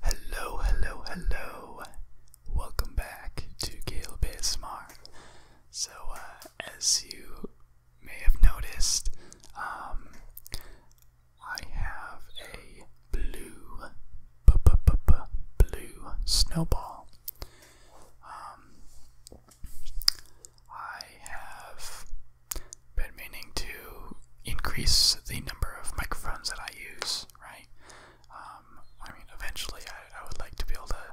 Hello, hello, hello. Welcome back to Caleb ASMR. So, uh, as you may have noticed, um, I have a blue, blue snowball. Um, I have but meaning to increase the number of microphones that I use, right? Um, I mean, eventually I, I would like to be able to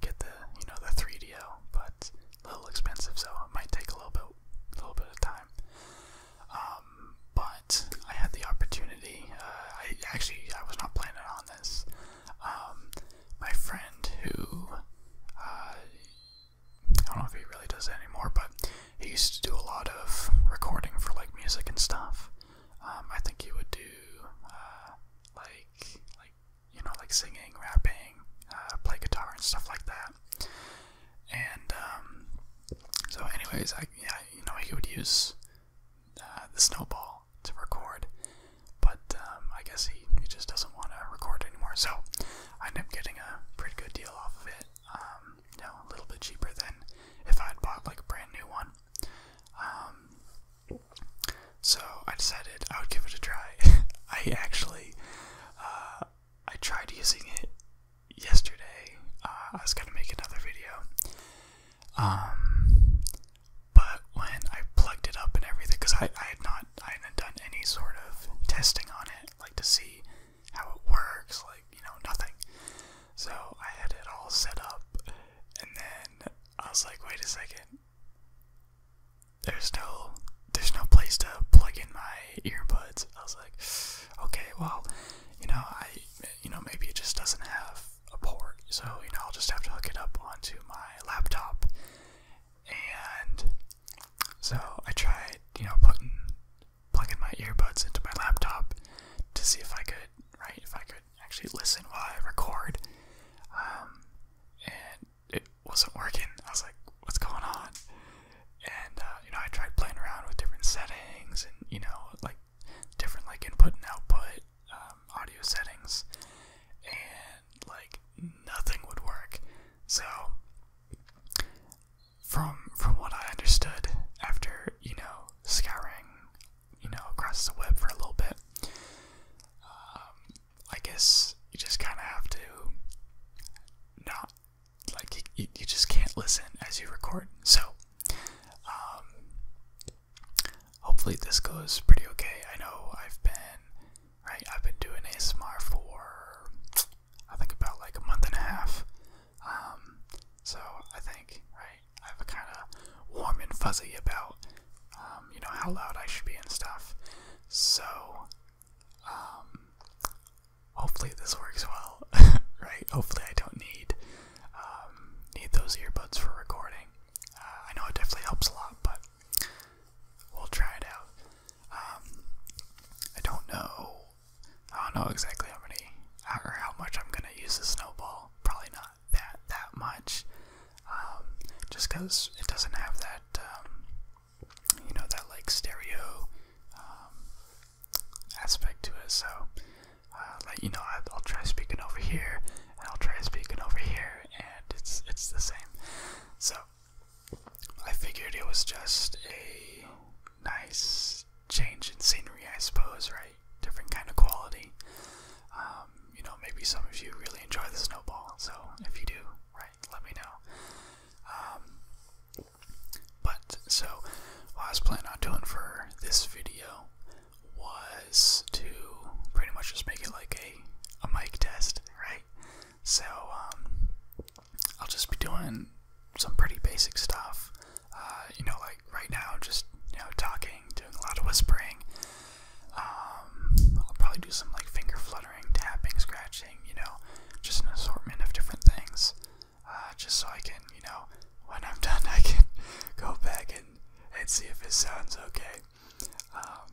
get the, you know, the 3DO, but little expensive, so it might take a little bit, a little bit of time. Um, but I had the opportunity. Uh, I actually I was not planning on this. Um, my friend who uh, I don't know if he really does it anymore, but he used to do a lot of recording for like music and stuff. Um, I think he would do uh, like like you know like singing, rapping, uh, play guitar and stuff like that. And um, so, anyways, I yeah you know he would use uh, the snowball to record, but um, I guess he, he just doesn't want to record anymore. So I ended up getting a pretty good deal off of it, um, you know, a little bit cheaper than if I'd bought like a brand new one. Um, so I decided I would give it a try. I actually uh, I tried using it yesterday. Uh, I was gonna make another video. Um, but when I plugged it up and everything, because I, I had not I hadn't done any sort of testing on it, like to see how it works, like, you know, nothing. So I had it all set up, and then I was like, wait a second. There's no, there's no place to plug in my earbuds. I was like, okay, well, you know, I, you know, maybe it just doesn't have a port, so you know, I'll just have to hook it up onto my laptop. And so I tried, you know, putting plugging my earbuds into my laptop to see if I could, right, if I could actually listen while I record. Um, and it wasn't working. I was like, what's going on? And, uh, you know, I tried playing around with different settings and, you know, like different, like, input and output um, audio settings, and, like, nothing would work. So from from what I understood after you know scouring you know across the web for a little bit, um, I guess you just kind of have to not like you, you just can't listen as you record. So um, hopefully this goes pretty okay. I know I've been right. I've been doing ASMR for I think about like a month and a half. Um, so I think, right, I have a kind of warm and fuzzy about, um, you know, how loud I should be and stuff. So, um, hopefully this works well, right? Hopefully I don't need, need those earbuds for recording. Uh, I know it definitely helps a lot, but we'll try it out. Um, I don't know. I don't know exactly how many or how much I'm gonna use the snowball. Probably not that that much. Um, just because it doesn't have that, um, you know, that like stereo um, aspect to it. So, uh, like you know, I, I'll try speaking over here, and I'll try speaking over here, and it's it's the same. So I figured it was just a nice change in scenery, I suppose, right? Different kind of quality. Um, you know, maybe some of you really enjoy the snowball, so if you do, right, let me know. Um, but so, what I was planning on doing for this video was to pretty much just make it like a a mic test, right? So, um, I'll just be doing some pretty basic stuff. Uh, you know, like right now, just you know, talking, doing a lot of whispering. Um, I'll probably do some like finger fluttering, tapping, scratching. You know, just an assortment of different things, uh, just so I can, you know, when I'm done, I can go back and and see if it sounds okay. Um,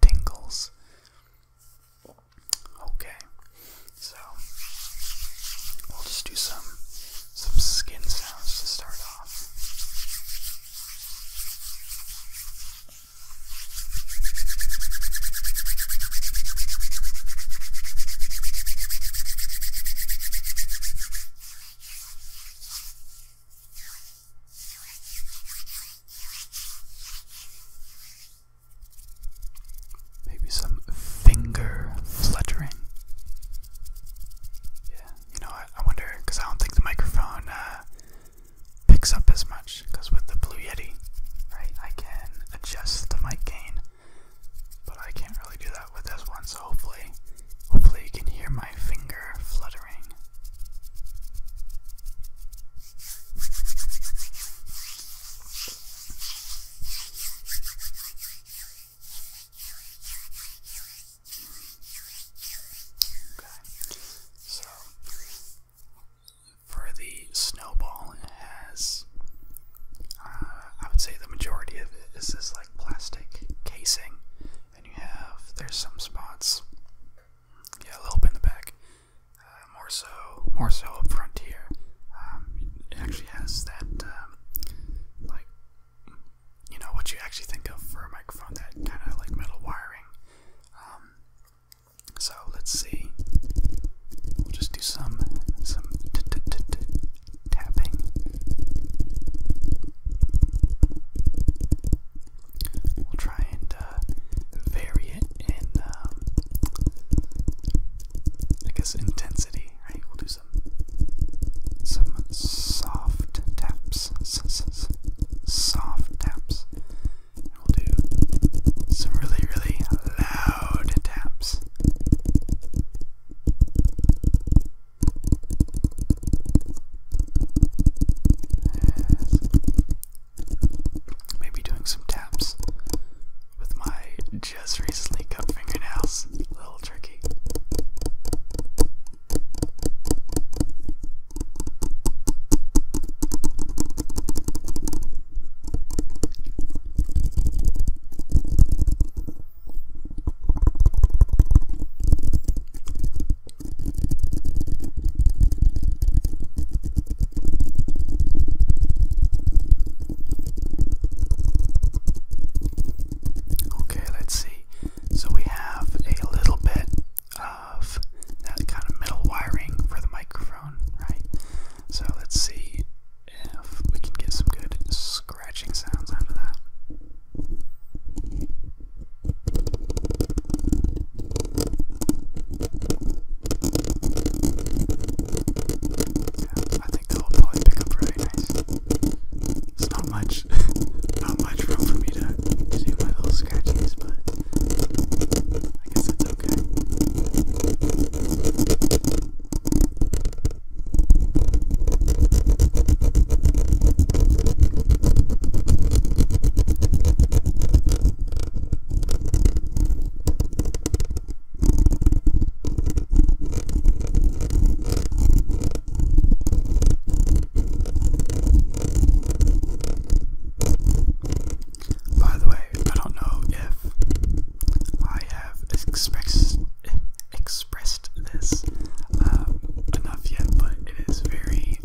tingles. Okay, so we'll just do some some skin sounds to start off. Maybe some finger fluttering. Yeah, you know, I, wonder because I don't think the microphone uh, picks up as much. Because with the Blue Yeti, right, I can adjust the mic gain, but I can't really do that with this one. So hopefully, hopefully you can hear my finger fluttering so for the snowball, it has, uh, I would say the majority of it is this like plastic casing, and you have, there's some spots yeah, a little bit in the back. Uh, more so, more so up front here. Um, it actually has that, um, like, you know, what you actually think of for a microphone, that kind of like metal wiring. Um, so let's see. We'll just do some some tapping we'll try and uh, vary it and, um, I guess, intensity. Right? We'll do some some soft taps, soft taps, and we'll do some really, really loud taps. Maybe doing some taps with my just recently cut fingernails. A little tricky. Okay, let's see. So we have a little bit of that kind of metal wiring for the microphone, right? So let's see if we can get some good scratching sounds out of that. I think that will probably pick up really nice. It's not much, not much room for me to, to do my little scratches, but I guess it's okay. By the way, I don't know if I have express, expressed this um, enough yet, but it is very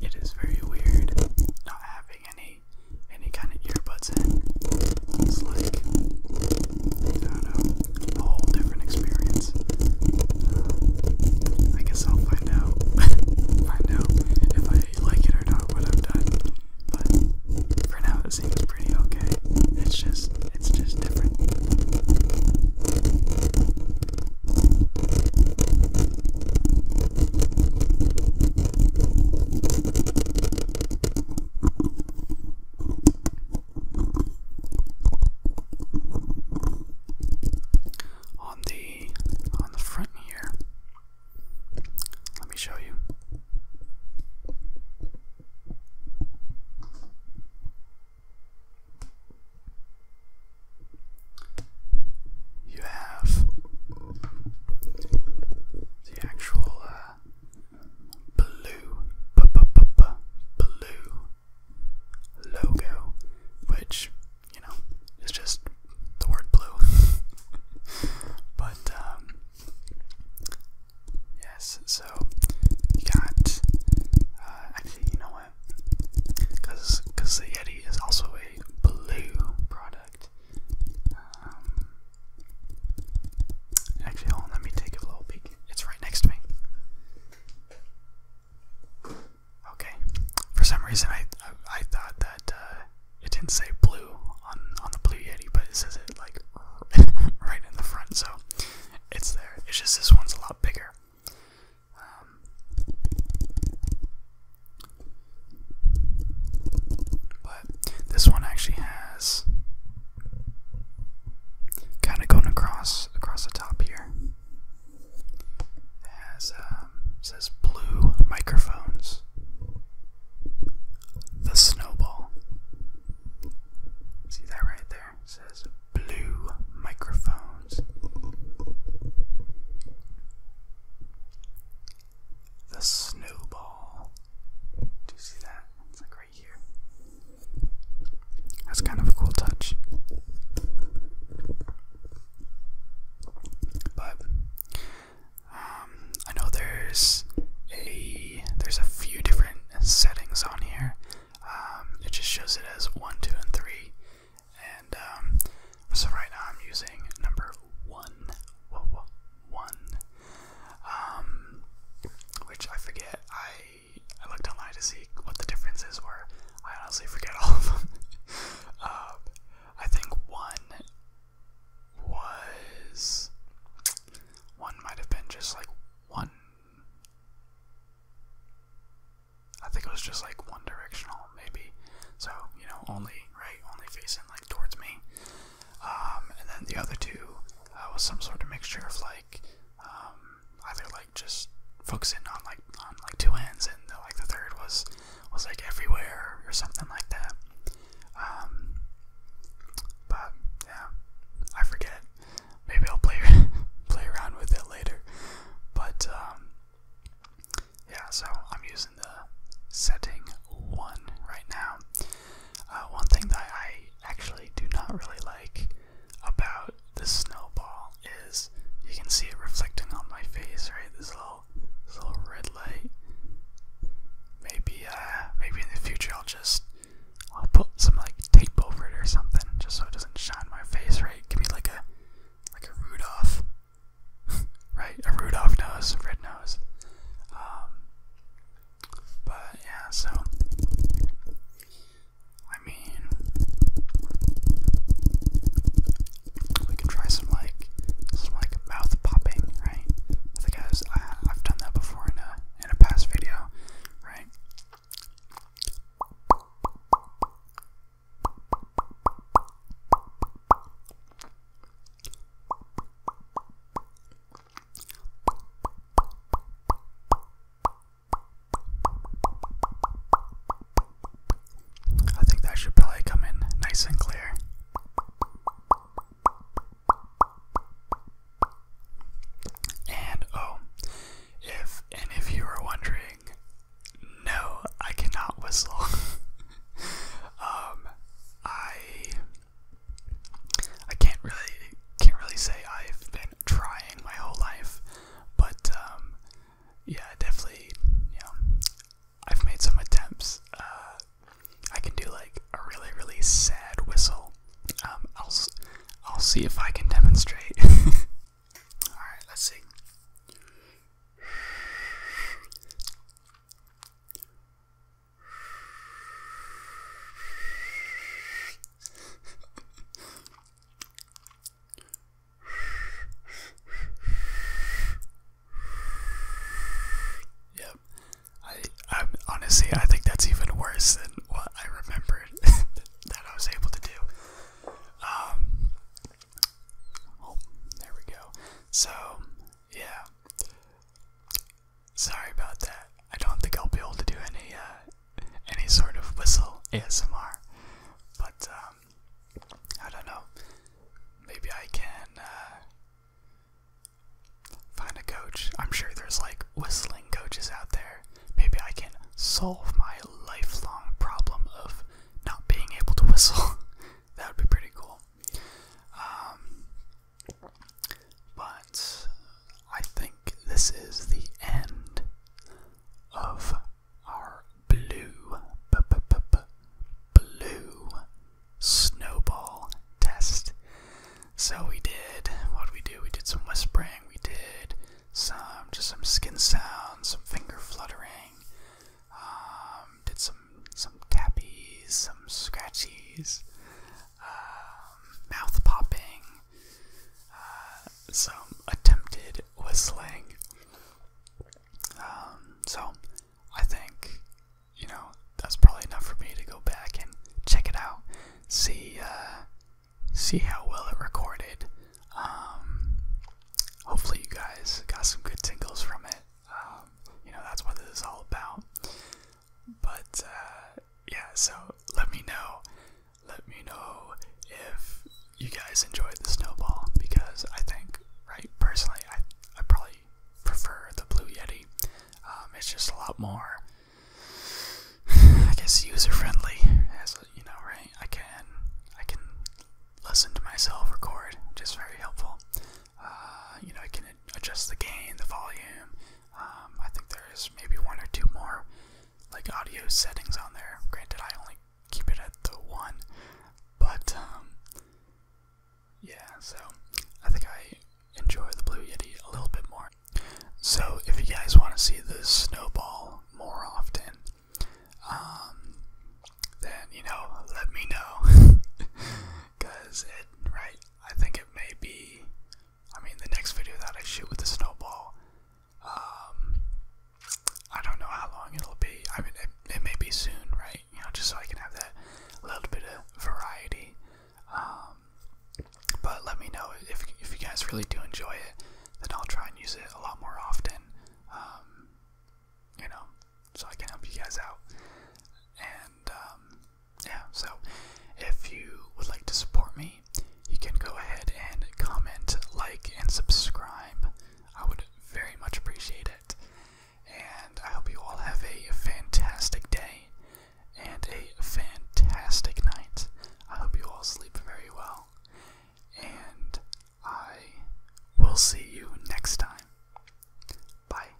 it is very weird not having any any kind of earbuds in. It's like I don't know, a whole different experience. Uh, I guess I'll find out find out if I like it or not when I'm done. But for now, it seems pretty okay. It's just it's just different. On the on the front here. Let me show you. You have the actual uh, blue, blue logo, which you know is just the word blue. but um, yes, so you got. Uh, actually, you know what? Because cause the Yeti is also a blue product. Um, actually, let me take a little peek. It's right next to me. Okay. For some reason, I I, thought that uh, it didn't say blue on on the blue Yeti, but it says it like right in the front, so it's there. It's just this one's a lot bigger. Um, but this one actually has kind of going across across the top here. It has um, says blue microphones. The snowball. See that right there? says blue microphones. The snowball. Do you see that? It's like right here. That's kind of a cool touch. But um, I know there's a there's a few different settings on here. Um, it just shows it as 1, 2, and 3. And um, so right now I'm using number 1. 1. Um, which I forget. I, I looked online to see what the differences were. I honestly forget all of them. Um, I think 1 was. 1 might have been just like 1. I think it was just like one directional, maybe. So, you know, only, right, only facing like towards me. Um, and then the other two uh, was some sort of mixture of like, um, either like just focusing on like, on like two ends and the, like the third was, was like everywhere or something like that. Um, but yeah, I forget maybe I'll play play around with it later. But um, yeah, so I'm using the setting one right now. Uh, one thing that I actually do not really like about the snowball is you can see it reflecting on my face, right? This little little red light. Maybe uh, maybe in the future I'll just I'll put some like tape over it or something, just so it doesn't doesn't shine my face, right? Give me like a like a Rudolph, right? A Rudolph nose, red nose. Um, but yeah, so I mean, we can try some like some like mouth popping, right? I I've done that before in a in a past video, right? I think that should probably come in nice and clear. And oh, if and if you are wondering, no, I cannot whistle. um, I I can't really can't really say I've been trying my whole life, but um, yeah, definitely, you know, I've made some attempts. Uh, I can do like a really really sad whistle. Um, I'll I'll see if I can demonstrate. Alright, let's see. yep. I I'm honestly I think that's even worse than what I remembered. that I was able to do. Um, oh, there we go. So, yeah. Sorry about that. I don't think I'll be able to do any uh, any sort of whistle ASMR, but um, I don't know. Maybe I can uh, find a coach. I'm sure there's like whistling coaches out there. Maybe I can solve my lifelong problem of not being able to whistle. that would be pretty cool. Um, but I think this is the end of our blue, blue snowball test. So we did, what did we do? We did some whispering, we did some just some skin sounds, some finger fluttering, um, did some some tappies, some scratchies, um, mouth popping, uh, some attempted whistling. Um, so I think you know that's probably enough for me to go back and check it out, see uh, see how well it recorded. Um, hopefully, you guys got some good tingles from it. Um, you know, that's what this is all about. But uh, yeah, so let me know. Let me know if you guys enjoyed the snowball because I think, right, personally, I, I probably prefer the Blue Yeti. Um, it's just a lot more I guess user friendly, as you know, right? I can I can listen to myself record, Just very helpful. Uh, you know, I can adjust the gain, the volume. Um, I think there's maybe one or two more like audio settings on there. Granted, I only keep it at the one, but um, yeah. So I think I enjoy the Blue Yeti a little bit more. So if you guys want to see the snowball more often, um, then you know, let me know, cause it right. I think it may be. I mean, the next video that I shoot with the snowball, um, I don't know how long it'll be. I mean, it may be soon, right? You know, just so I can have that little bit of variety. Um, but let me know if, if you guys really do enjoy it, then I'll try and use it a lot more often. Um, you know, so I can help you guys out. And um, yeah, so if you would like to support me, you can go ahead and comment, like, and subscribe. I would very much appreciate it. And I hope you all have a fantastic day and a fantastic night. I hope you all sleep very well, and I will see you next time. Bye.